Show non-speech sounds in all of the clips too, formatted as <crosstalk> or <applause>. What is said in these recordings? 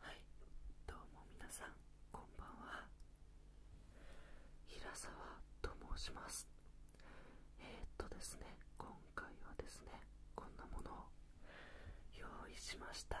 はいどうも皆さんこんばんは平沢と申しますえっとですね今回はですねこんなものを用意しました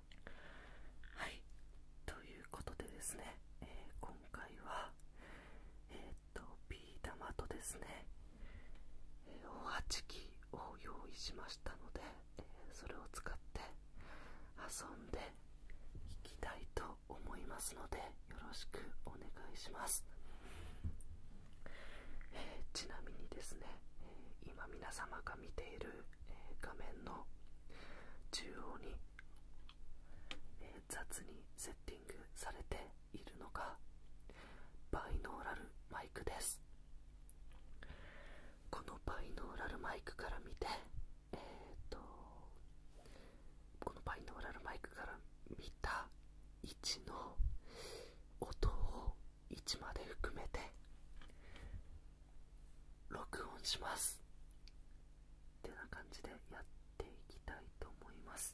はいということでですね、え今回はえっ、とビー玉とですねおはちきを用意しましたので、えそれを使って遊んでいきたいと思いますのでよろしくお願いします、えちなみにですね、え今皆様が見ているえ画面の中央に、え雑にセッティングされているのがバイノーラルマイクですこのバイノーラルマイクから見てえー、とこのバイノーラルマイクから見た位置の音を1まで含めて録音しますってな感じでやっていきたいと思います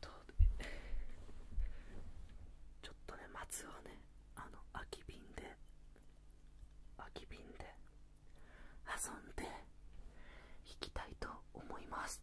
とちょっとね松はねあの空き瓶で空き瓶で遊んで引きたいと思います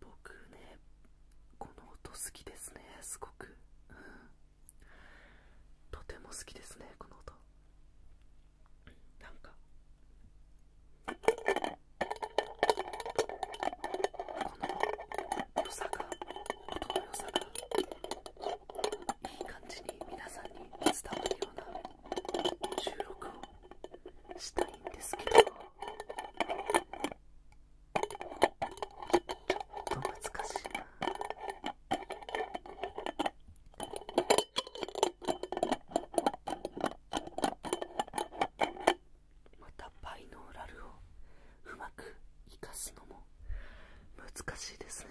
僕ねこの音好きですねすごく、とても好きですねこの音なんかこの良さが音の良さがいい感じに皆さんに伝わるような収録をしたいんですけどちょっと難しいな。またバイノーラルをうまく生かすのも難しいですね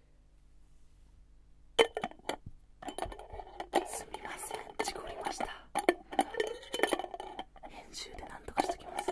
すみません事故りました編集で何とかしときます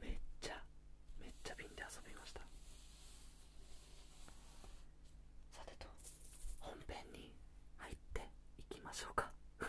めっちゃめっちゃ瓶で遊びましたさてと本編に入っていきましょうか <laughs>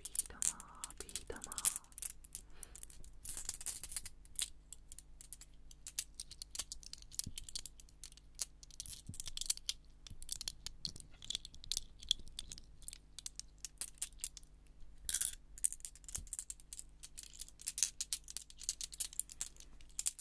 ビー玉ビー玉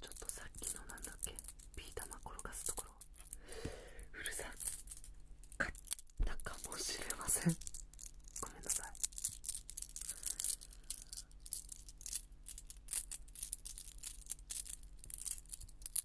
ちょっとさっきのなんだっけビー玉転がすところうるさかったかもしれませんごめんなさい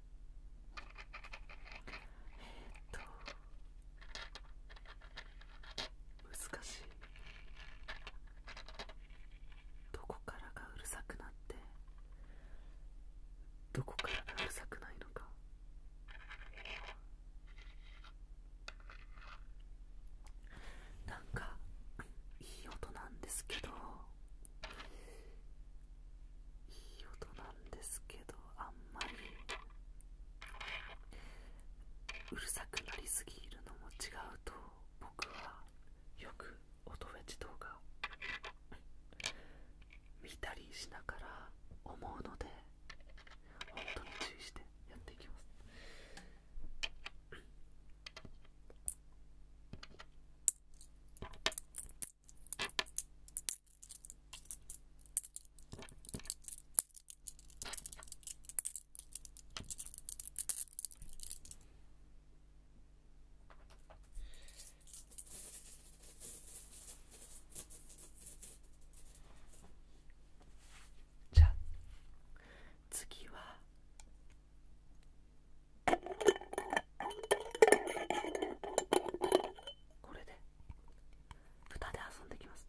えっと難しいどこからがうるさくなってどこからがうるさくないのかなんかいい音なんですけどいい音なんですけどあんまりうるさくなりすぎるのも違うと僕はよく音フェチ動画を見たりしながら思うので本当に注意してやっていきますじゃあ次はこれで豚で遊んできます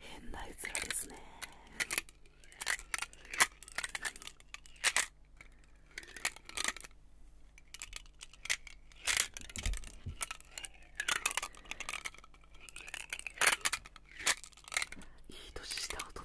変な絵面ですねいい年した大人が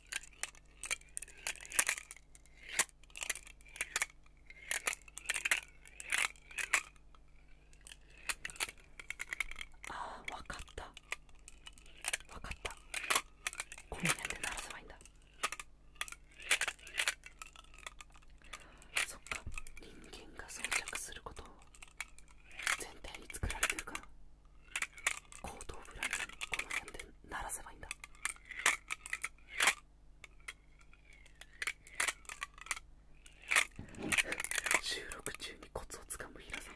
ああわかった分かったこうやっ鳴らせばいいんだそっか人間が装着することを前提に作られてるから。後頭部ラインこの辺で鳴らせばいいんだ収録中にコツをつかむ平さん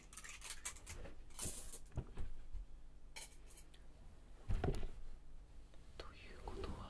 ということは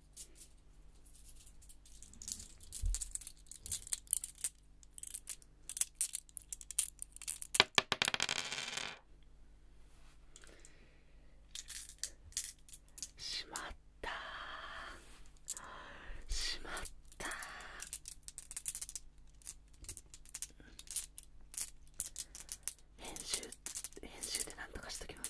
しまったしまった編集練習で何とかしときます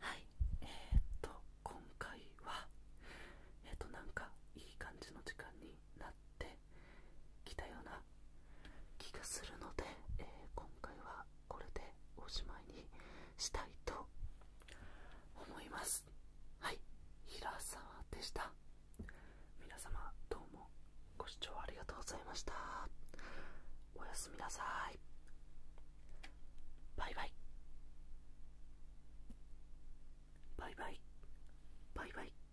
はいえっと今回はえっとなんかいい感じの時間になってきたような気がするので、えー、今回はこれでおしまいにしたいと思いますはい平沢でした皆様どうもご視聴ありがとうございましたおやすみなさいバイバイバイバイバイバイ